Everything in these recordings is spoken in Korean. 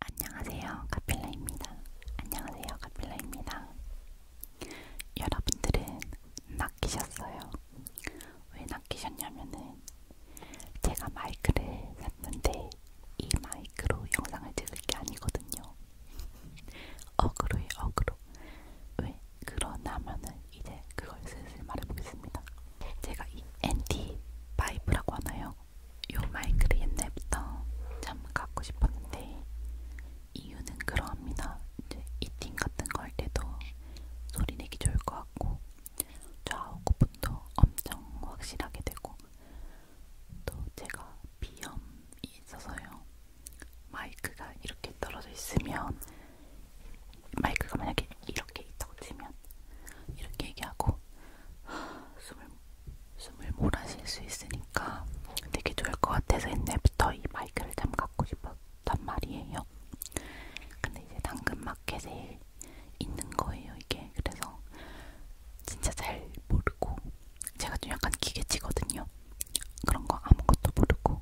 안녕하세요, 카필라입니다. 안녕하세요, 카필라입니다. 여러분들은 낚이셨어요. 왜 낚이셨냐면은 제가 마이크를 샀는데 이 마이크로 영상을 찍을 게 아니거든요. 어그로에 어그로. 왜 그러냐면은 이제 그걸 슬슬 말해보겠습니다. 제가 이 NT5라고 하나요? 요 마이크를 옛날부터 참 갖고 싶었는데 이유는 그러합니다. 이제 이팅 같은 거 할 때도 소리 내기 좋을 것 같고 좌우 구분도 엄청 확실하게 되고 또 제가 비염이 있어서요. 마이크가 이렇게 떨어져 있으면 마이크가 만약에 이렇게 있다고 치면 이렇게 얘기하고 숨을, 숨을 몰아실 수 있으니까 되게 좋을 것 같아서 옛날부터 이 마이크를 참 갖고 싶었단 말이에요. 근데 이제 당근마켓에 있는 거예요, 이게. 그래서 진짜 잘 모르고 제가 좀 약간 기계치거든요. 그런 거 아무것도 모르고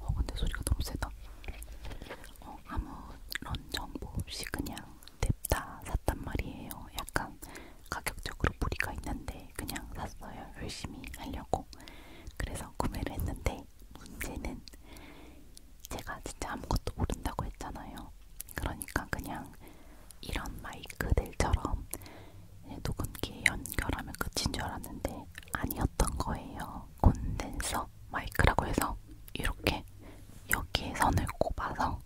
어 근데 소리가 너무 세다. 어 아무런 정보 없이 그냥 냅다 샀단 말이에요. 약간 가격적으로 무리가 있는데 그냥 샀어요. 열심히 하려고. 그래서 구매를 했는데 문제는 제가 진짜 아무것도 모른다고 했잖아요. 그러니까 그냥 이런 마이크들처럼 녹음기에 연결하면 끝인 줄 알았는데 아니었던 거예요. 콘덴서 마이크라고 해서 이렇게 있는데 여기에 선을 꼽아서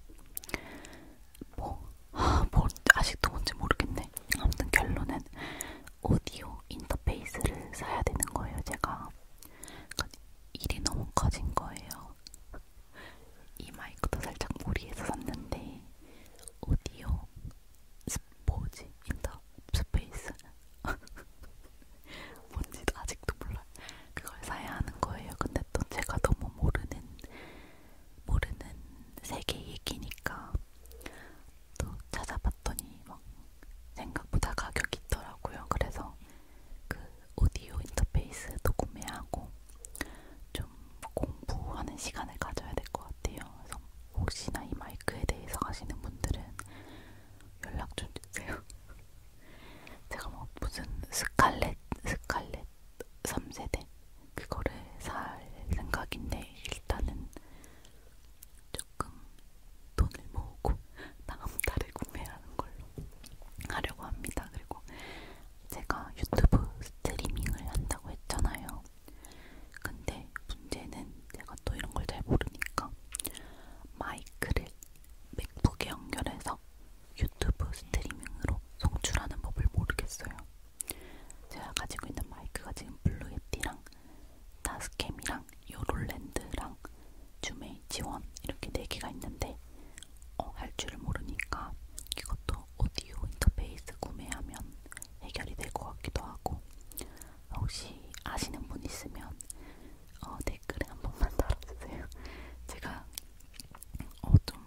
뭐, 아, 뭐 아직도 뭔지 모르겠네. 아무튼 결론은 오디오 인터페이스를 사야 되는 거예요. 제가 그러니까 일이 너무 커진 거예요. 이 마이크도 살짝 무리해서 샀는데 오디오 스포지 인터페이스 뭔지도 아직도 몰라요. 그걸 사야 하는 거예요. 근데 또 제가 너무 모르는 모르는 세계 얘기니까 또 찾아봤더니 막 생각보다 가격이 있더라고요. 그래서 그 오디오 인터페이스도 구매하고 좀 공부하는 시간을 가져야 될 것 같아요. 그래서 혹시나 이 마이크에 대해서 아시는 분들은 연락 좀 주세요. 제가 막 뭐 무슨 스칼렛 스칼렛 3세대 그거를 살 생각인데 일단은 조금 돈을 모으고 다음 달에 구매하는 걸로 하려고 합니다. 그리고 제가 유튜브 스트리밍을 한다고 했잖아요. 근데 문제는 제가 또 이런 걸 잘 모르니까 마이크를 맥북에 연결해서 유튜브 스트리밍으로 송출하는 법을 모르겠어요. 제가 가지고 있는 마이크가 지금 블루예티랑 다스캠이랑 요롤랜드랑 주메이 지원 이렇게 네 개가 있는데 어, 할 줄을 모르니까 이것도 오디오 인터페이스 구매하면 해결이 될 것 같기도 하고 혹시 아시는 분 있으면 어, 댓글에 한 번만 달아주세요. 제가 어, 좀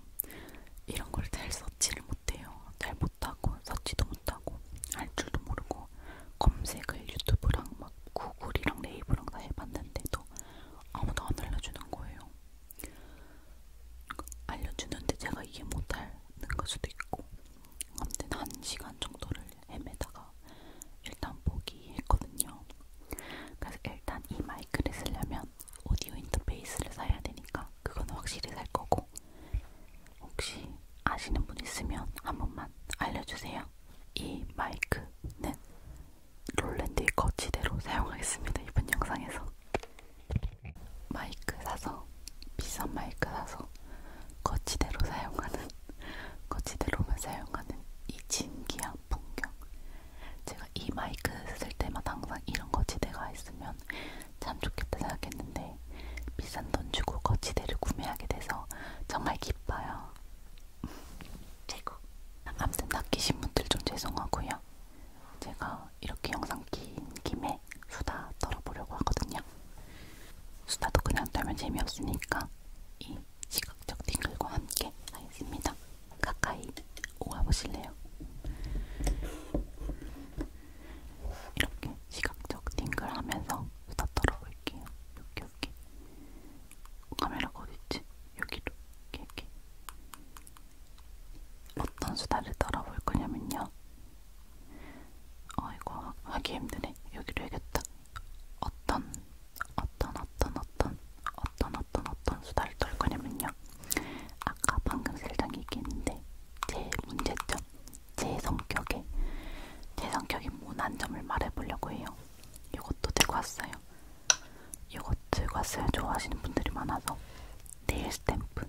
이런 걸잘 서치를 못해요. 잘 못하고 서치도 못하고 알 줄도 모르고 검색을 유튜브랑 막 구글이랑 네이버랑 다 해봤는데도 아무도 안 알려주는 거예요. 알려주는데 제가 이해 못하는 걸 수도 있고 아무튼 한 시간 정도를 헤매다가 일단 포기했거든요. 그래서 일단 이 마이크를 쓰려면 오디오 인터페이스를 사야 되니까 그건 확실히 살 거고 혹시 아시는 분 있으면 한 번만 알려주세요. 이 마이크는 롤랜드의 거치대로 사용하겠습니다. 이번 영상에서 마이크 사서 비싼 마이크 사서 거치대로 사용하는 거치대로만 사용하는 이 진기함 풍경. 제가 이 마이크 쓸 때마다 항상 이런 거치대가 있으면 참 좋겠다 생각했는데 비싼 돈 주고 거치대를 구매하게 돼서 정말 기뻐요. 최고. 암튼 낚이신 분들 좀 죄송하고요. 제가 이렇게 영상 긴 김에 수다 떨어보려고 하거든요. 수다도 그냥 떨면 재미없으니까 이 시각적 팅글과 함께 하였습니다. 가까이 오가보실래요? 이렇게 시각적 팅글 하면서 수다 떨어볼게요. 여기 여기 카메라가 어딨지? 여기로 이렇게 이렇게 어떤 수다를 떨어볼 거냐면요. 아 이거 하기 힘드네. 여기로 해야겠다. 어떤 어떤 어떤 어떤 어떤 어떤 어떤 수다를 떨 거냐면요. 아까 방금 살짝 얘기했는데 제 문제점, 제 성격에 제 성격이 모난 점을 말해보려고 해요. 이것도 들고 왔어요. 이것 들고 왔어요. 좋아하시는 분들이 많아서 네일 스탬프.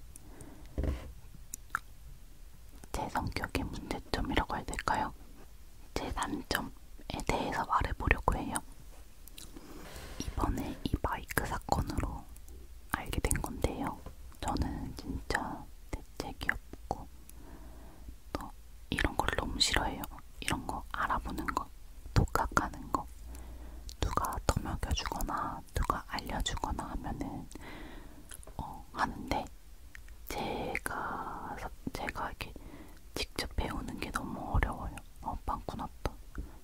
제 성격의 문제점이라고 해야 될까요? 제 단점, 사건에 대해서 말해보려고 해요. 이번에 이 마이크 사건으로 알게 된 건데요. 저는 진짜 대책이 없고 또 이런 걸 너무 싫어해요. 이런 거 알아보는 거, 독학하는 거. 누가 더먹여주거나 누가 알려주거나 하면은 어, 하는데 제가 제가 이렇게 직접 배우는 게 너무 어려워요. 어, 빵꾸 났다.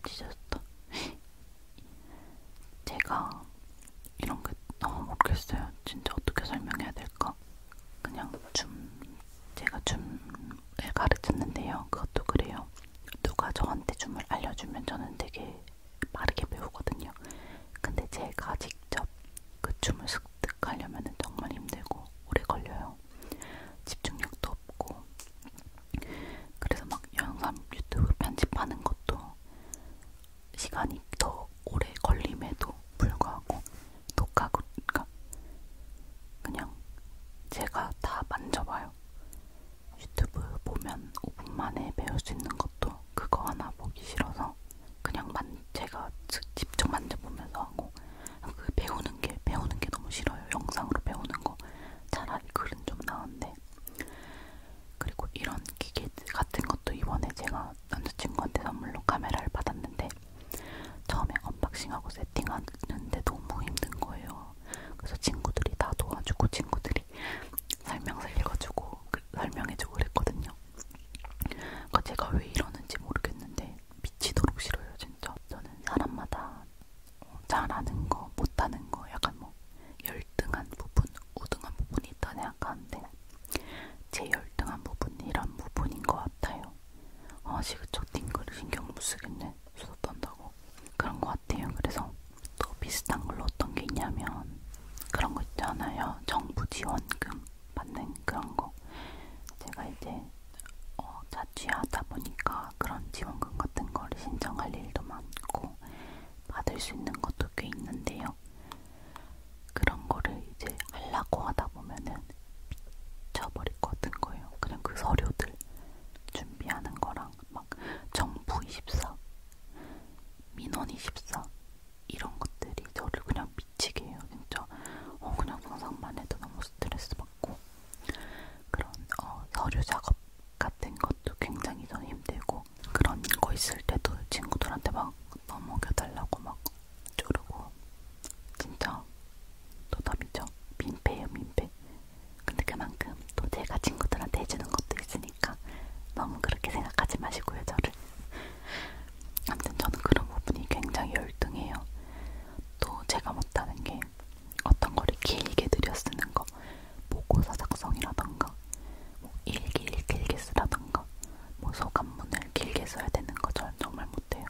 찢어졌다. 제가 이런 게 너무 어, 모르겠어요. 진짜 어떻게 설명해야 될까? 그냥 춤, 제가 춤을 가르쳤는데요. 그것도 그래요. 누가 저한테 춤을 알려주면 저는 되게 빠르게 배우거든요. 근데 제가 직접 그 춤을 습 습득하려면 정말 힘들고 오래 걸려요. 집중력도 없고 그래서 막 영상 유튜브 편집하는 것도 시간이 더 오래 걸림에도 불구하고 독학으로 그러니까 그냥 제가 다 만져봐요. 유튜브 보면 5분 만에 배울 수 있는 것도 그거 하나 보기 싫어서 그냥 만 제가 직접 만져보면서 하고 그 배우는 게 배우는 게 너무 싫어요. 영상으로 배우는 거 차라리 글은 좀 나은데. 그리고 이런 기계 같은 것도 이번에 제가 남자친구한테 선물로 카메라를 받았는데 처음에 언박싱하고 세팅하는데 너무 힘든 거예요. 그래서 친구들이 다 도와주고 친구들이 설명서 읽어주고 그 설명해주고 그랬거든요. 그러니까 제가 왜 이러는지 모르겠는데 미치도록 싫어요 진짜. 저는 사람마다 어, 잘하는 거, 못하는 거 약간 뭐 열등한 부분, 우등한 부분이 있다 생각하는데 제 열등한 부분이 이런 부분인 것 같아요. 아 시그적 띵글 신경 못 쓰겠네. 수다 떤다고. 그런 것 같아요. 그래서 또 비슷한 걸로 어떤 게 있냐면 그런 거 있잖아요. 정부 지원금 받는 그런 거. 제가 이제 어, 자취하다 보니까 그런 지원금 같은 걸 신청할 일도 많고 받을 수 있는 것도 꽤 있는데요. 그런 거를 이제 하려고 하다 보면은 미쳐버릴 것 같은 거예요. 그냥 그 서류들 준비하는 거랑 막 정부 24, 민원 24 이런 것들이 저를 그냥 미치게 해요 진짜 어 그냥 상상만 해도 너무 스트레스 받고 그런 어, 서류 작업 같은 것도 굉장히 저는 힘들고 그런 거 있을 때도 친구들한테 막 넘어겨달라고 막 쪼르고 진짜 도답이죠 민폐예요 민폐 근데 그만큼 또 제가 친구들한테 해주는 것도 있으니까 너무 그렇게 생각하지 마시고요 저를 아무튼 저는 그런 부분이 굉장히 열등해요 또 제가 못하는 게 어떤 거를 길게 들여 쓰는 거 보고서 작성이라던가 뭐 일기를 길게 쓰라던가 뭐 소감문을 길게 써야 되는 거 저는 정말 못해요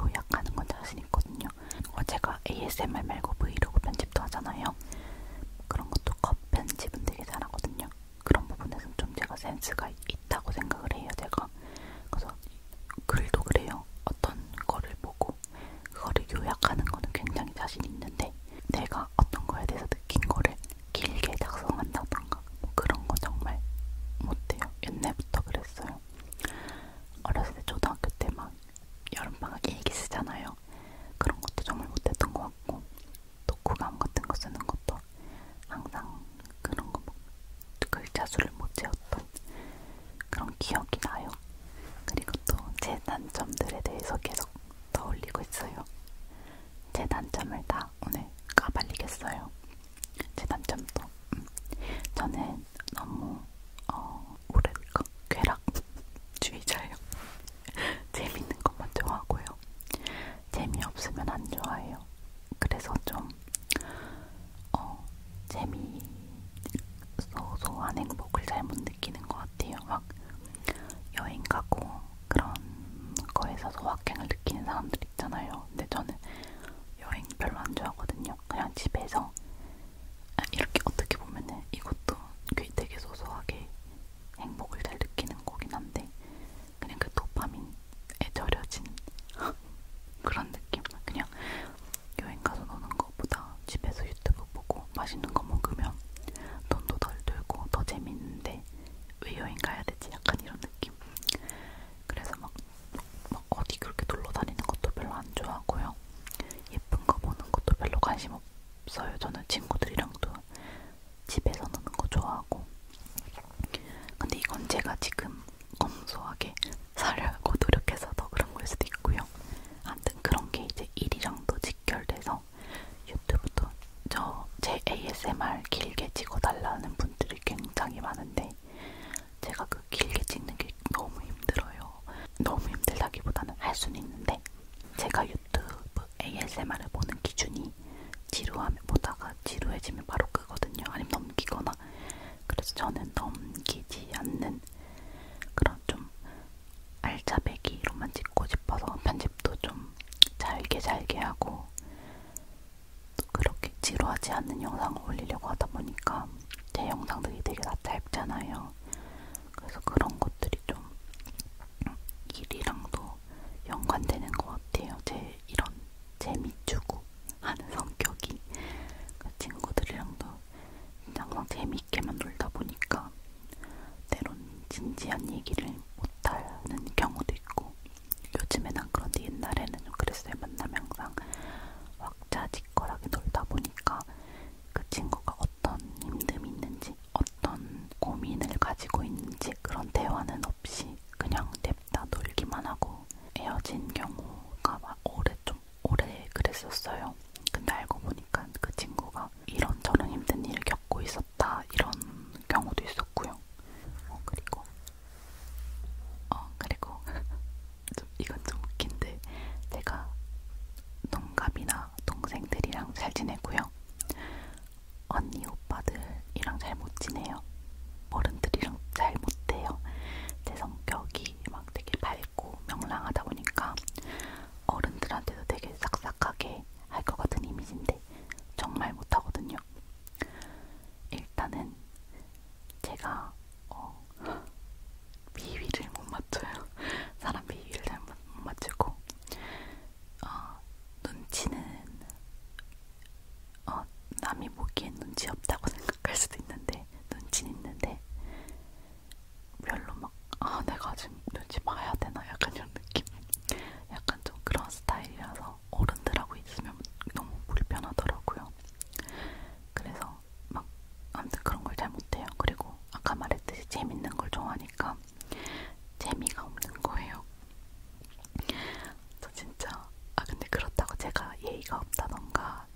요약하는 건 자신 있거든요 어, 제가 ASMR 말고 브이로그 편집도 하잖아요 그런 것도 컷 편집은 되게 잘하거든요 그런 부분에서는 좀 제가 센스가 있다고 생각을 해요 제가 그래서 글도 그래요. 어떤 거를 보고 그거를 요약하는 거는 굉장히 자신 있는데 내가 어떤 거에 대해서 느낀 거를 길게 작성한다던가 뭐 그런 거 정말 못해요. 옛날부터 그랬어요. 어렸을 때 초등학교 때 막 여름방학 일기 쓰잖아요. 그런 것도 정말 못했던 것 같고 독후감 같은 거 쓰는 것도 항상 그런 거 뭐 글자 그 수를 못 채웠던 그런 기억이 나요. 그리고 또 제 단점들에 대해서 계속 떠올리고 있어요. 제 단점을 다 오늘 까발리겠어요. 제 단점도 음. 저는 너무 어, 뭐랄까 그 쾌락주의자예요. 재밌는 것만 좋아하고요. 재미없으면 안 좋아해요. 그래서 좀 어, 재미 소소한 행복을 잘 못 느끼는 것 같아요. 막 여행 가고 그런 거에서 소확행을 느끼는 사람들 있잖아요. 근데 저는 여행 별로 안 좋아하거든요. 그냥 집에서 아, 이렇게 어떻게 보면은 이것도 되게 소소하게 행복을 잘 느끼는 거긴 한데 그냥 그 도파민 절여진 그런 느낌. 그냥 여행 가서 노는 것보다 집에서 유튜브 보고 맛있는 거 먹으면 돈도 덜 들고 더 재밌는데 왜 여행 가야 되지? 약간 이런 느낌. 그래서 막, 막 어디 그렇게 놀러 다니는 것도 별로 안 좋아하고요. 예쁜 거 보는 것도 별로 관심 없어요. 저는 친구들이랑도 집에서 노는 거 좋아하고. 근데 이건 제가 지금 검소하게 살려고 노력해서 더 그런 걸 수도 있고요. 아무튼 그런 게 이제 일이랑도 직결돼서 유튜브도 저 제 ASMR 길게 찍어달라는 분들이 굉장히 많은데 제가 그 길게 찍는 게 너무 힘들어요. 너무 힘들다기보다는 할 수는 있는데 제가 유튜브 ASMR을 보는 기준이 지루하면 보다가 지루해지면 바로 끄거든요. 아니면 넘기거나 그래서 저는 넘기지 않는 그런 좀 알짜배기로만 찍고 싶어서 편집도 좀 잘게 잘게 하고 또 그렇게 지루하지 않는 영상을 올리려고 하다 보니까 제 영상들이 되게 다 짧잖아요. 그래서 그런 것들이 좀 일이랑도 연관되는 것 같아요. 제 이런 재미주고 재밌고 하는 성격이 그 친구들이랑도 항상 재밌게만 놀다 보니까 때론 진지한 얘기를 못하는 경우도 있고 요즘엔 안 그런데 옛날에는 좀 그랬어요. 만나면 항상 왁자지껄하게 놀다 보니까 그 친구가 어떤 힘듦이 있는지 어떤 고민을 가지고 있는지 그런 대화는 없이 그냥 내다 놀기만 하고 헤어진 경우가 막 오래 좀 오래 그랬었어요. 근데 알고 보니까 그 친구가 이런저런 힘든 일을 겪고 있었다 이런 경우도 있었고요. 어 그리고 어 그리고 좀 이건 좀 웃긴데 제가 동갑이나 동생들이랑 잘 지내고요. 언니 오빠들이랑 잘 못 지내요. 어른들이랑 잘 못해요. 제 성격이 막 되게 밝고 명랑하다 보니까 어른들한테도 되게 싹싹하게 할 것 같은 이미지인데 정말 못하거든요. 일단은 제가 어, 비위를 못 맞춰요. 사람 비위를 잘 못 맞추고 어, 눈치는 어, 남이 보기엔 눈치 없다고 생각할 수도 있는데 눈치 있는데 별로 막 아 내가 지금 눈치 봐야 되나 약간 이런 느낌 약간 좀 그런 스타일이라서 어른들하고 있으면 너무 불편하더라고요. 그래서 막 아무튼 그런 걸 잘 못해요. 그리고 아까 말했듯이 재밌는 걸 좋아하니까 재미가 없는 거예요. 저 진짜 아 근데 그렇다고 제가 예의가 없다던가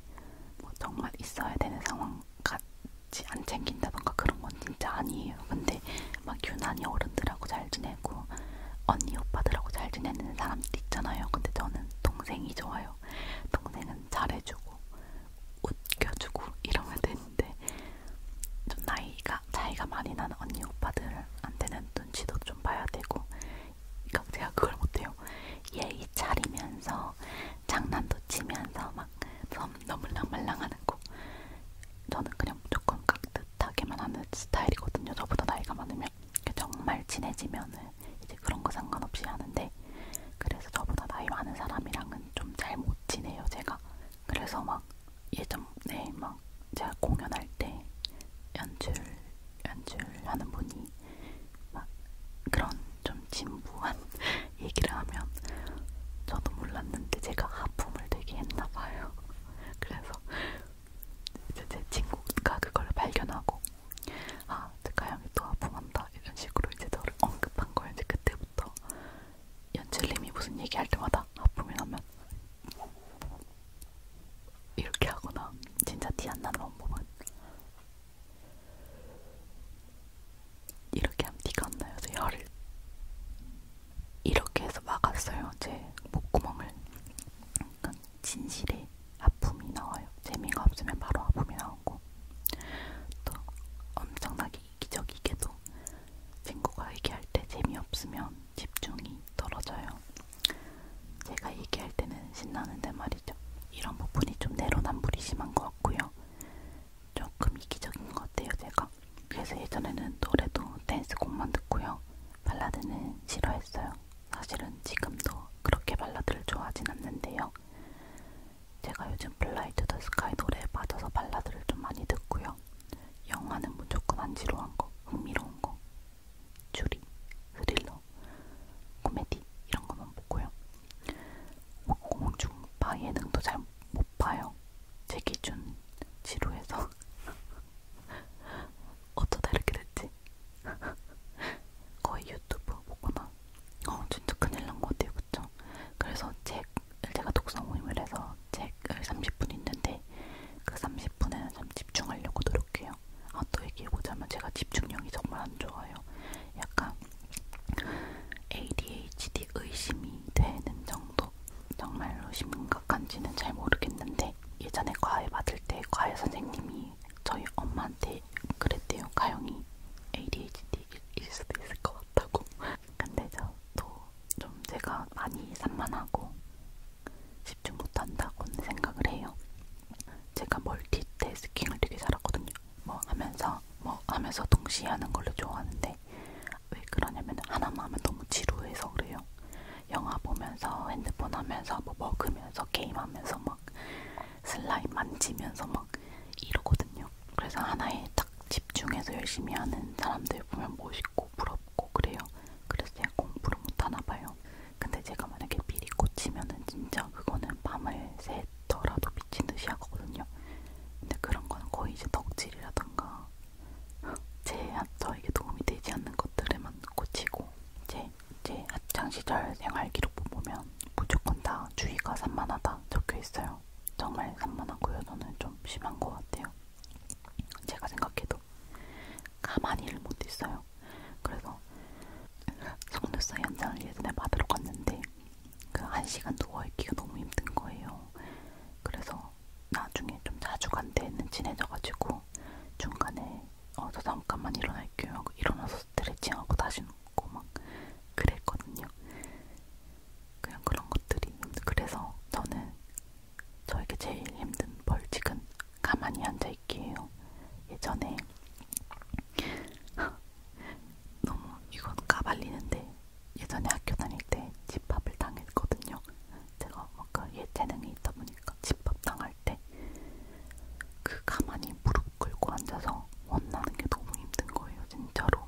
뭐 정말 있어야 되는 상황 같이 안 챙긴다던가 그런 건 진짜 아니에요. 근데 막 유난히 어른들하고 잘 지내고 언니 오빠들하고 잘 지내는 사람들 있잖아요. 근데 저는 동생이 좋아요. 동생은 잘해주고 웃겨주고 이러면 되는데 좀 나이가 차이가 많이 나는 언니 오빠들한테는 눈치도 좀 봐야 되고 그러니까 제가 그걸 못해요. 예의 차리면서 장난도 치면서 막 너무 말랑말랑하는 거. 저는 그냥 무조건 깍듯하게만 하는 스타일이거든요. 저보다 나이가 많으면 정말 친해지면은 이제 그런 거 상관없이 하는데 그래서 저보다 나이 많은 사람이랑은 좀 잘 못 지내요. 제가 그래서 막 예전에 막 제가 공연할 때 연출 연출하는 분이 막 그런 좀 진부한 얘기를 하면 저도 몰랐는데 제가 하품을 되게 했나봐요. 그래서 이제 제 친구가 그걸 발견하고 아, 가영이 또 하품한다 이런 식으로 이제 저를 언급한 거예요. 이제 그때부터 연출님이 무슨 얘기할 때마다 하품이 나면 이렇게 하거나 진짜 티 안 나는 방법은 이렇게 하면 티가 안 나요. 제 혀를 이렇게 해서 막았어요. 제 목구멍을. 그러니까 진실의 아픔이 나와요. 재미가 없으면 바로 아픔이 나오고 또 엄청나게 이기적이게도 친구가 얘기할 때 재미없으면 집중이 떨어져요. 제가 얘기할 때는 신나는데 말이죠. 이런 부분이 좀 내로남불이 심한 것 같고요. 조금 이기적인 것 같아요, 제가. 그래서 예전에는 노래도 댄스곡만 듣고요. 발라드는 싫어했어요. 사실은 지금도 그렇게 발라드를 좋아하진 않는데요. 제가 요즘 블라이 투더 스카이 노래에 빠져서 발라드를 좀 많이 듣고요. 영화는 무조건 안 지루한 거, 흥미로운 거, 추리, 스릴러, 코미디 이런 것만 보고요. 뭐 공중파 예능도 잘 못 봐요. 제 기준 지루해서 어쩌다 이렇게 됐지? 거의 유튜브 보거나 어 진짜 큰일 난 것 같아요, 그쵸? 그래서 책 제가 독서 모임을 해서 책을 30분 있는데 그 30분에는 좀 집중하려고 노력해요. 아또 얘기해보자면 제가 집중력이 정말 안 좋아요. 약간 ADHD 의심이 되는 정도? 정말로 심각한지는 잘 모르겠는데 예전에 과외 받을 때 과외 선생님이 저희 엄마한테 그랬대요. 가영이 ADHD일 수도 있을 것 같다고. 근데 저도 좀 제가 많이 산만하고 집중 못한다고는 생각을 해요. 제가 멀티태스킹을 되게 잘하거든요. 뭐 하면서 뭐 하면서 동시에 하는 걸로 좋아하는데 왜 그러냐면 하나만 하면 너무 지루해서 그래요. 영화 보면서 핸드폰 하면서 뭐 먹으면서 게임하면서 막 슬라임 만지면서 막 이러거든요. 그래서 하나에 딱 집중해서 열심히 하는 사람들 보면 멋있고 부럽고 그래요. 그래서 제가 공부를 못하나 봐요. 근데 제가 만약에 미리 꽂히면은 진짜 그거는 밤을 새더라도 미친 듯이 하거든요. 근데 그런 거는 거의 이제 덕질이라던가 제 저에게 도움이 되지 않는 것들에만 꽂히고 이제 제 학창 시절 생활 기록부 보면 무조건 다 주의가 산만하다 적혀 있어요. 정말 산만하고요. 저는 좀 심한 것 같아요. 제가 생각해도. 있어. 가만히를 못 있어요. 그래서 속눈썹 연장을 예전에 받으러 갔는데 그 한 시간 누워 있기가 너무 힘든 거예요. 그래서 나중에 좀 자주 간 데는 친해져가지고 중간에 어, 저 잠깐만 일어날게요 하고 일어나서 스트레칭하고 다시 눕고 막 그랬거든요. 그냥 그런 것들이 그래서 저는 저에게 제일 힘든 벌칙은 가만히 앉아있게요. 예전에 너무 이건 까발리는데 예전에 학교 다닐 때 집합을 당했거든요. 제가 뭔가 예체능이 있다 보니까 집합 당할 때 그 가만히 무릎 꿇고 앉아서 원나는 게 너무 힘든 거예요. 진짜로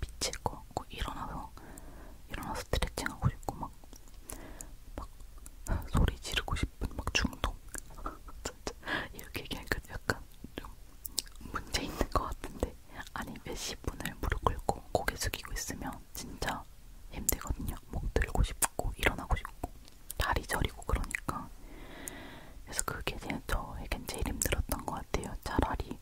미칠 것 같고 일어나서 일어나서 스트레칭하고 싶고 막막 소리 지르고 싶은 막 중독 이렇게 얘기하니까 약간 좀 문제 있는 것 같은데 아니 몇십 분을 무릎 꿇고 고개 숙이고 있으면 진짜 힘들거든요. 목 들고 싶고 일어나고 싶고 다리 저리고 그러니까 그래서 그게 저에겐 제일 힘들었던 것 같아요. 차라리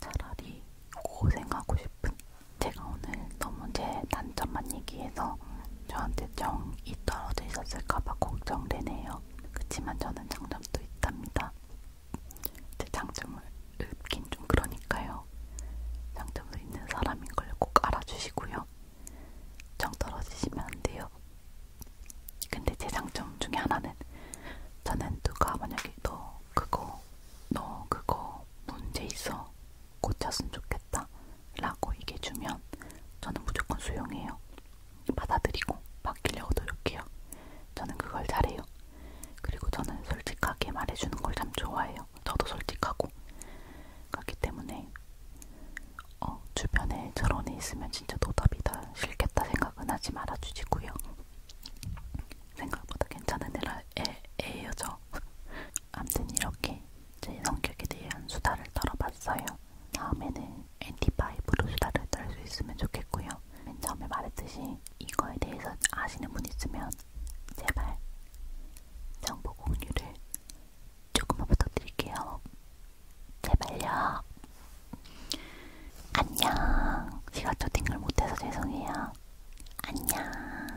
차라리 고생하고 싶은 제가 오늘 너무 제 단점만 얘기해서 같아서 저한테 정이 떨어져 있었을까봐 걱정되네요. 그치만 저는 장점도 있답니다. 제 장점을 읊긴 좀 그러니까요. 장점도 있는 사람인 걸 꼭 알아주시고요. 정 떨어지시면 안 돼요. 근데 제 장점 중에 하나는 저는 누가 만약에 너 그거 너 그거 문제 있어 고쳤으면 좋겠다 라고 얘기해주면 저는 무조건 수용해요. 받아들이고 바뀌려고 노력해요. 저는 그걸 잘해요. 그리고 저는 솔직하게 말해주는 걸 참 좋아해요. 저도 솔직하고. 그렇기 때문에 어, 주변에 저런 애 있으면 진짜 노답이다 싫겠다 생각은 하지 말아주시고요. 생각보다 괜찮은 애라 애, 애예요 저. 아무튼 이렇게 제 성격에 대한 수다를 떨어봤어요. 다음에는 엔티파이브로 수다를 떨 수 있으면 좋겠고요. 맨 처음에 말했듯이 이거에 대해서 아시는 분 있으면 제발 정보 공유를 조금만 부탁드릴게요. 제발요. 안녕. 시간 초팅을 못해서 죄송해요. 안녕.